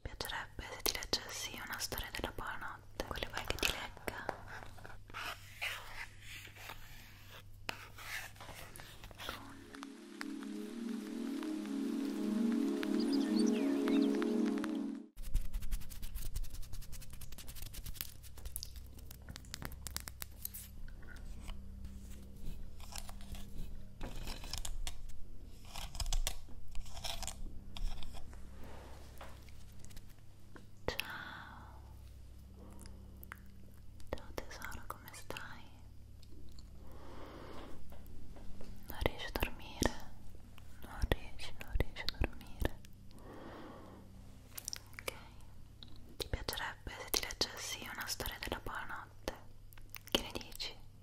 Mi piacerebbe se ti leggessi una storia della buonanotte. Quale vuoi che ti legga? Ciao Ciao tesoro, come stai? Non riesci a dormire? Non riesci, non riesci a dormire? Ok Ti piacerebbe se ti leggessi una storia della buonanotte? Che ne dici? ok,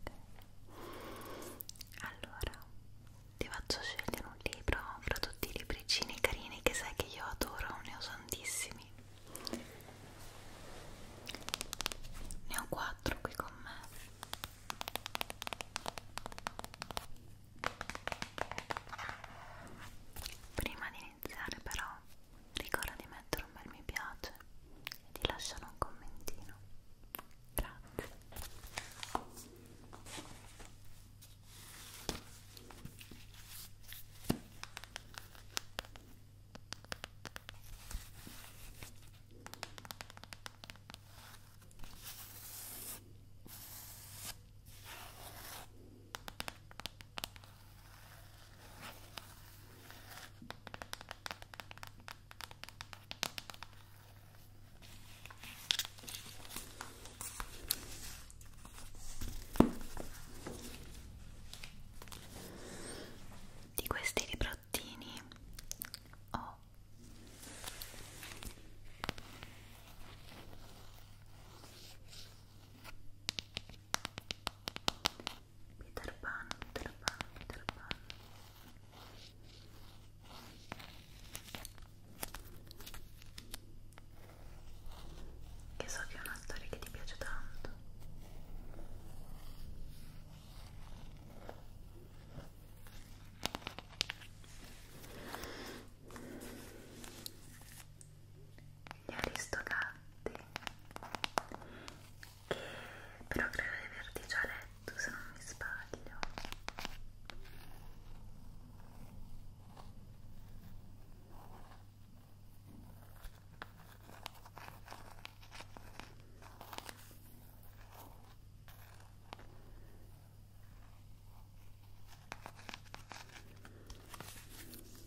ok allora ti faccio scegliere un libro fra tutti i libricini carini che sai che io adoro, ne ho tantissimi ne ho quattro qui con me prima di iniziare iniziare però ricorda di mettere un bel mi piace e di lasciare un commentino grazie Ecco di questi librottini ho Peter Pan, Peter Pan, Peter Pan che so che è una storia che ti piace tanto gli aristocratti che però credo di averti già letto se non mi sbaglio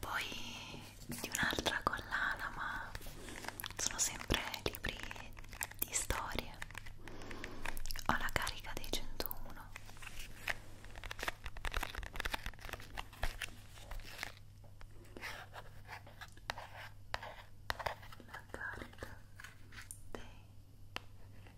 poi di un'altra collana ma sono sempre libri di storie ho la carica dei 101 la carica dei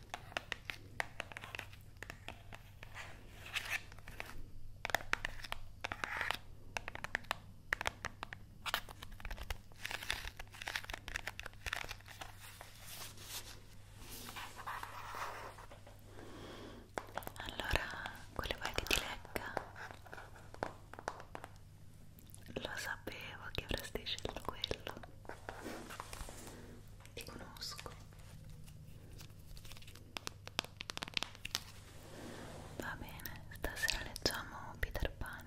Allora, quello vuoi che ti legga? Lo sapevo che avresti scelto quello. Ti conosco. Va bene, stasera leggiamo Peter Pan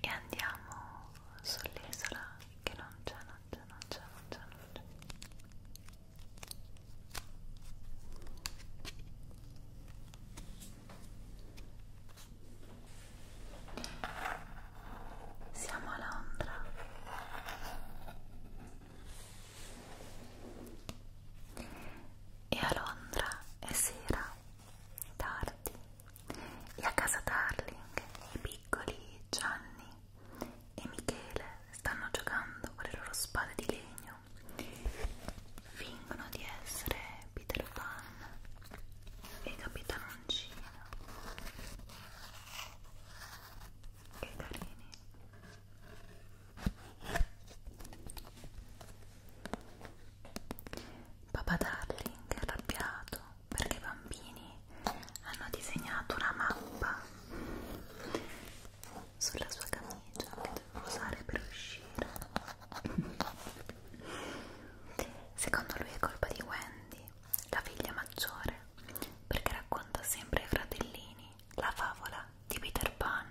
e andiamo sull'isola che non c'è, non c'è, non c'è, non c'è, non c'è. Siamo a Londra. E a Londra è sera, tardi. E a casa Darling i piccoli Gianni e Michele stanno giocando con le loro spade di legno. Fingono di essere Peter Pan e Capitanoncina che carini Papà Darling è arrabbiato perché i bambini hanno disegnato una mappa sulla sua camicia che devono usare per uscire Secondo lui è colpa di Wendy, la figlia maggiore, perché racconta sempre ai fratellini la favola di Peter Pan.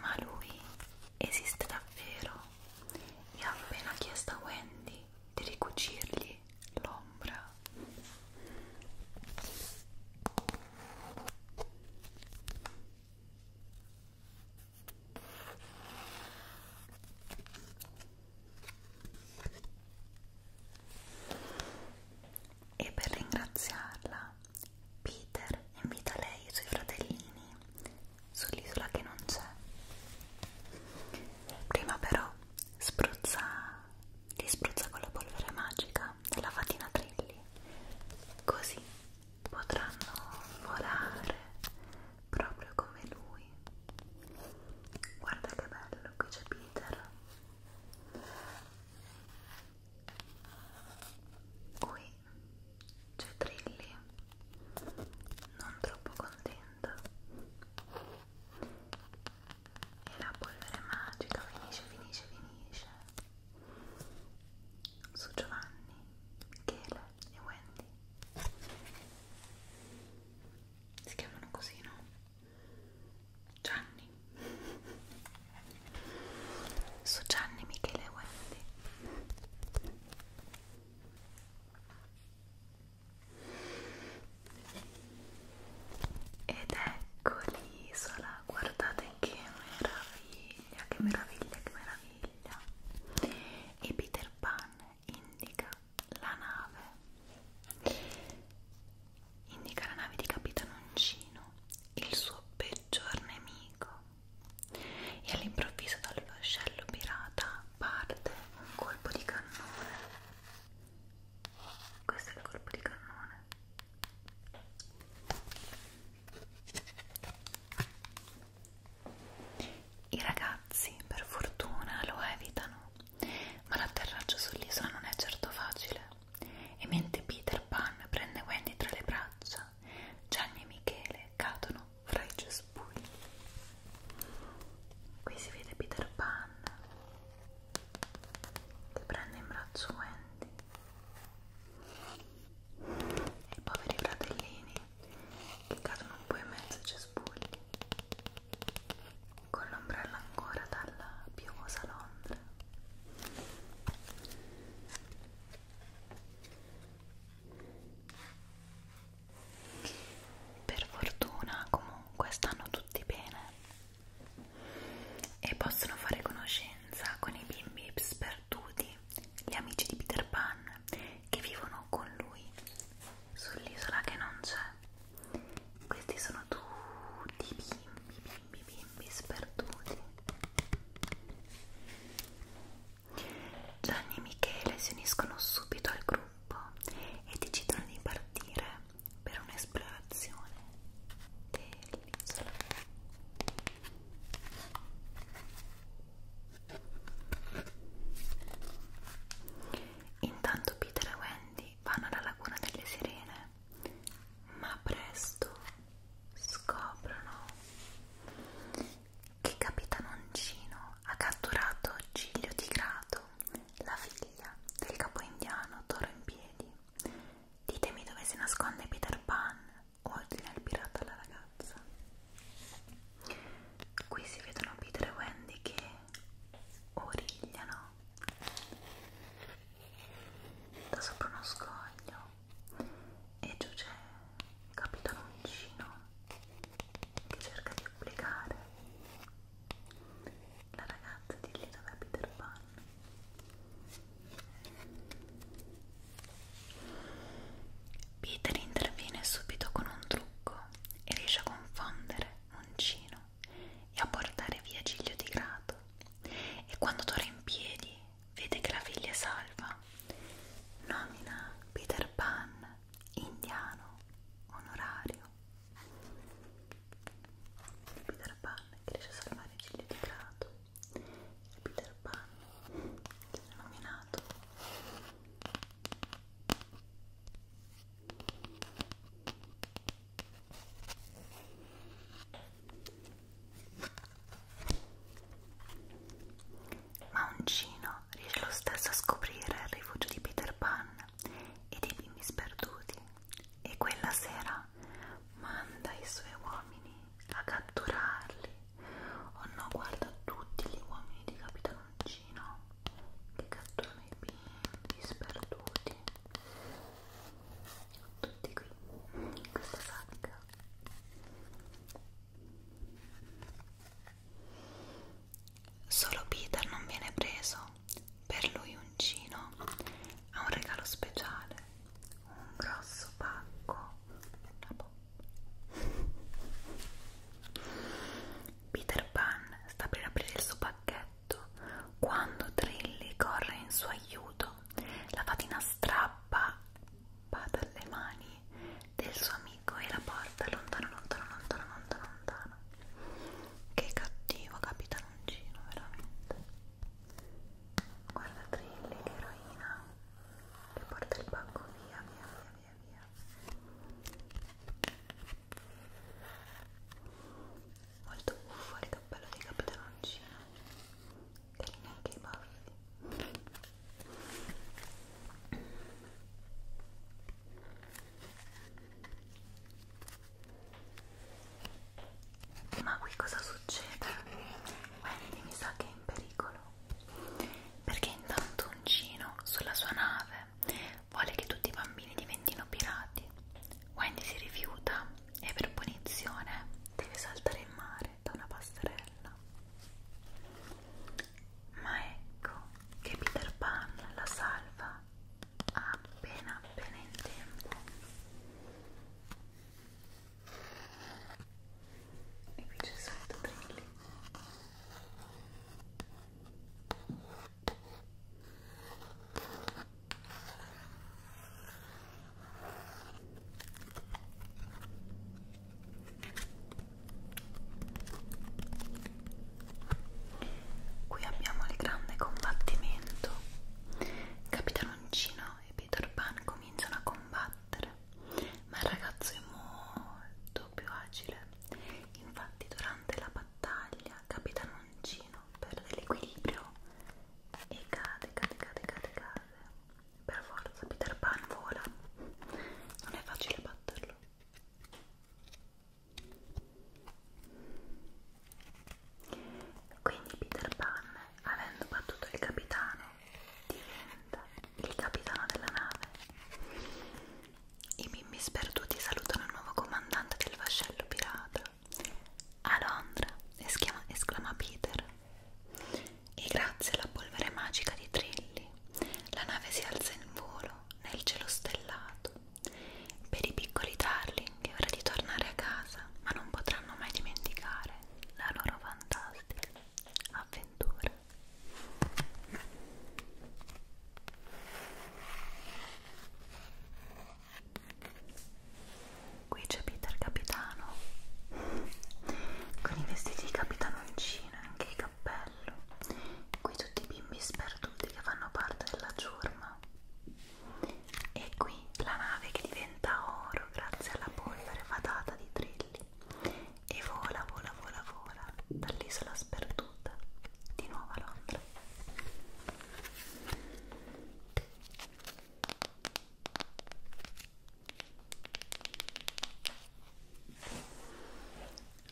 Ma lui esiste davvero e ha appena chiesto a Wendy di ricucirgli l'ombra. E per ringraziarla, Peter invita lei e i suoi fratellini sull'isola che non c'è. Prima però spruzza, li spruzza con la polvere magica della fatina Trilli, così potranno volare proprio come lui. Guarda che bello, qui c'è Peter. Qui c'è Trilli, non troppo contenta. E la polvere magica finisce, finisce, finisce su Giovanni, Michele e Wendy si chiamano così, no? Gianni su Gianni, Michele e Wendy ed ecco l'isola guardate che meraviglia, che meraviglia, che meraviglia. E Peter Pan indica la nave. Indica la nave di Capitano Uncino, il suo peggior nemico. E all'improvviso dal vascello pirata parte un colpo di cannone. Questo è il colpo di cannone i ragazzi, per fortuna, lo evitano, ma l'atterraggio sull'isola non è certo facile. E mentre Peter Pan prende Wendy tra le braccia, Gianni e Michele cadono fra i cespugli. Qui si vede Peter Pan che prende in braccio Wendy i poveri fratellini che cadono un po' in mezzo ai cespugli con l'ombrello ancora dalla piovosa Londra per fortuna comunque stanno tutti bene e possono fare conoscenza con i bimbi sperduti, gli amici di Peter Pan che vivono con lui sull'isola che non c'è. Questi sono tutti bimbi, bimbi, bimbi sperduti. Gianni e Michele si uniscono subito al gruppo e decidono di partire per un'esplorazione dell'isola intanto Peter e Wendy vanno alla laguna delle sirene ma presto scoprono che Capitano Uncino ha catturato Giglio Tigrato, la figlia del capo indiano Toro in Piedi Ditemi dove si nasconde Peter Pan, ordina il pirata alla ragazza. Qui si vedono Peter e Wendy che origliano da sopra uno scoglio e giù c'è il capitano vicino che cerca di obbligare la ragazza di lì dove è Peter Pan Peter interviene subito con un trucco e riesce a confondere Uncino e a portare via Giglio di Grato e quando torna in piedi vede che la figlia è salva nomina Peter Pan indiano onorario il Peter Pan che riesce a salvare il ciglio di prato il Peter Pan che viene nominato ma Uncino riesce lo stesso a scoprire il rifugio di Peter Pan e dei bimbi sperduti e quella sera manda i suoi uomini a catturarli. Oh no, guarda tutti gli uomini di Capitanoncino che catturano i bimbi sperduti. Tutti qui, in questa sacca. Solo Peter non viene preso per lui uncino ha un regalo speciale un grosso pacco una bomba Peter Pan sta per aprire il suo pacchetto quando Trilli corre in suo aiuto la fatina strappa dalle mani del suo amico e la porta lontano lontano lontano lontano lontano che cattivo capitano personaggino veramente guarda Trilli l'eroina che porta il banco via via via via via molto buffo il cappello di capitanoncino che neanche i baffi ma qui cosa succede? Wendy mi sa che è in pericolo perché intanto Uncino sulla sua nave vuole che tutti i bambini diventino pirati. Wendy si rifiuta e per punizione deve saltare in mare da una passerella. Ma ecco che Peter Pan la salva appena appena in tempo e qui c'è il solito trilli Qui abbiamo il grande combattimento. Capitanoncino e Peter Pan cominciano a combattere, ma il ragazzo è molto più agile. Infatti, durante la battaglia, Capitanoncino perde l'equilibrio e cade, cade, cade, cade, cade. Per forza, Peter Pan vola. Non è facile batterlo. Quindi Peter Pan, avendo battuto il capitano, diventa il capitano della nave. I bimbi sperduti salutano il nuovo comandante del vascello pirata. A Londra, esclama, esclama Peter. E grazie alla polvere magica di Trilli, la nave si alza in volo nel cielo stellato per i piccoli darling è ora di tornare a casa, ma non potranno mai dimenticare la loro fantastica avventura. Qui c'è Peter Capitano con i vestiti di capitanoncino e anche il cappello. Qui tutti i bimbi sperduti che fanno parte della ciurma e qui la nave che diventa oro grazie alla polvere fatata di trilli e vola vola vola vola dall'isola sperduta di nuovo a Londra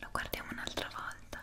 lo guardiamo un'altra volta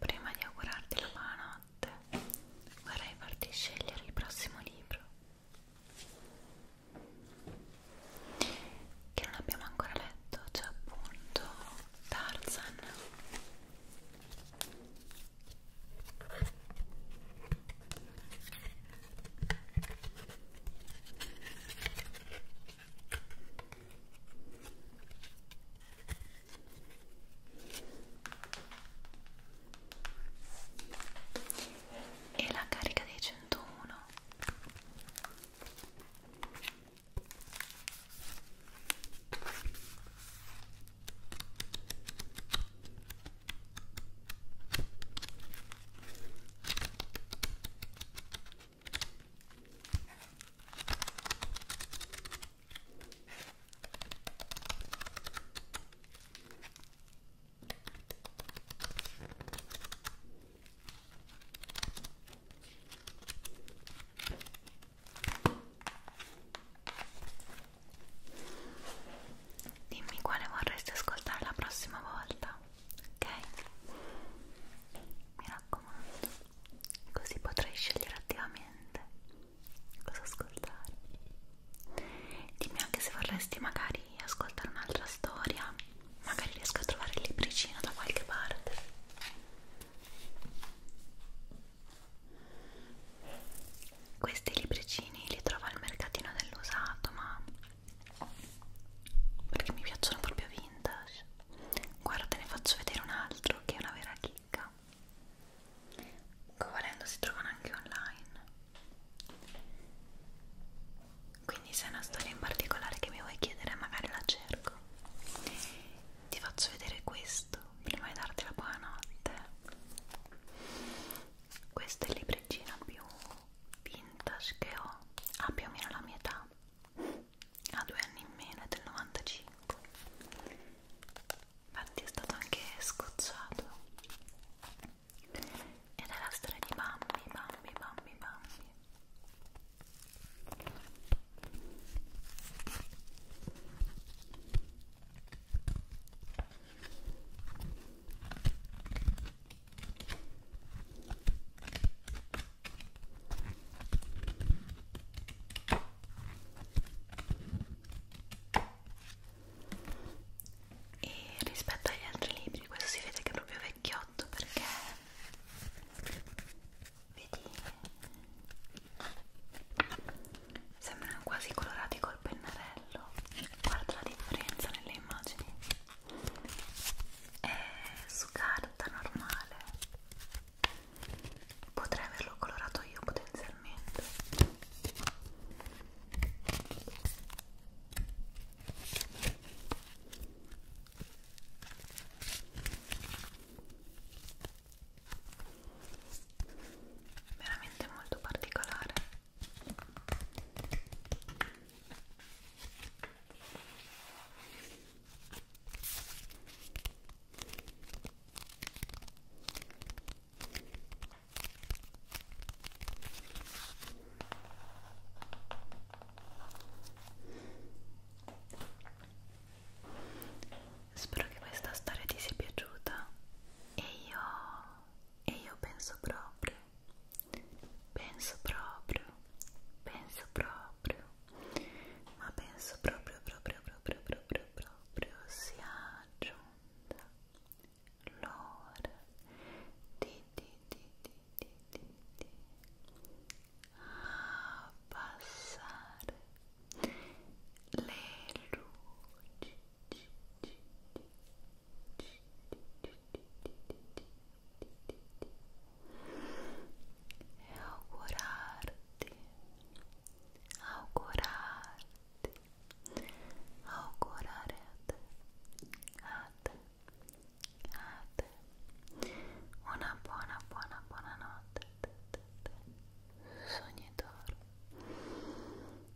Prima di augurarti la buonanotte, vorrei farti scegliere il prossimo libro che non abbiamo ancora letto, c'è cioè appunto Tarzan e la carica dei 101 Dimmi quale vorresti ascoltare la prossima volta ok? Mi raccomando, così potrai scegliere attivamente cosa ascoltare. Dimmi anche se vorresti magari ascoltare un'altra storia, magari riesco a trovare il libricino da qualche parte. Questi libricini li trovo al mercatino dell'usato, ma perché mi piacciono proprio vintage guarda te ne faccio vedere un altro che è una vera chicca volendo si trovano anche online quindi se è una storia in particolare che mi vuoi chiedere magari la cerco ti faccio vedere questo prima di darti la buonanotte questo è il libricino più vintage che ho ha più o meno la mia età ha due anni in meno, è del 95 infatti è stato anche scocciato ed è la storia di Bambi, Bambi, Bambi, Bambi e rispetto agli altri libri questo si vede che è proprio vecchiotto perché vedi sembrano quasi colorati col pennarello guarda la differenza nelle immagini è eh, su carta normale potrei averlo colorato io potenzialmente veramente molto particolare Spero che questa storia ti sia piaciuta e io e io penso proprio, penso proprio, penso proprio, ma penso proprio, proprio, proprio, proprio, proprio sia giunta l'ora di, di, di, di, di, di, di abbassare le luci. Ci, ci, ci, e augurarti, augurarti, augurare a te, una buona, buona, buona notte, te, te,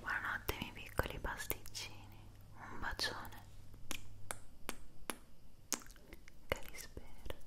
Buonanotte miei piccoli pasticcini, un bacione che vi spero.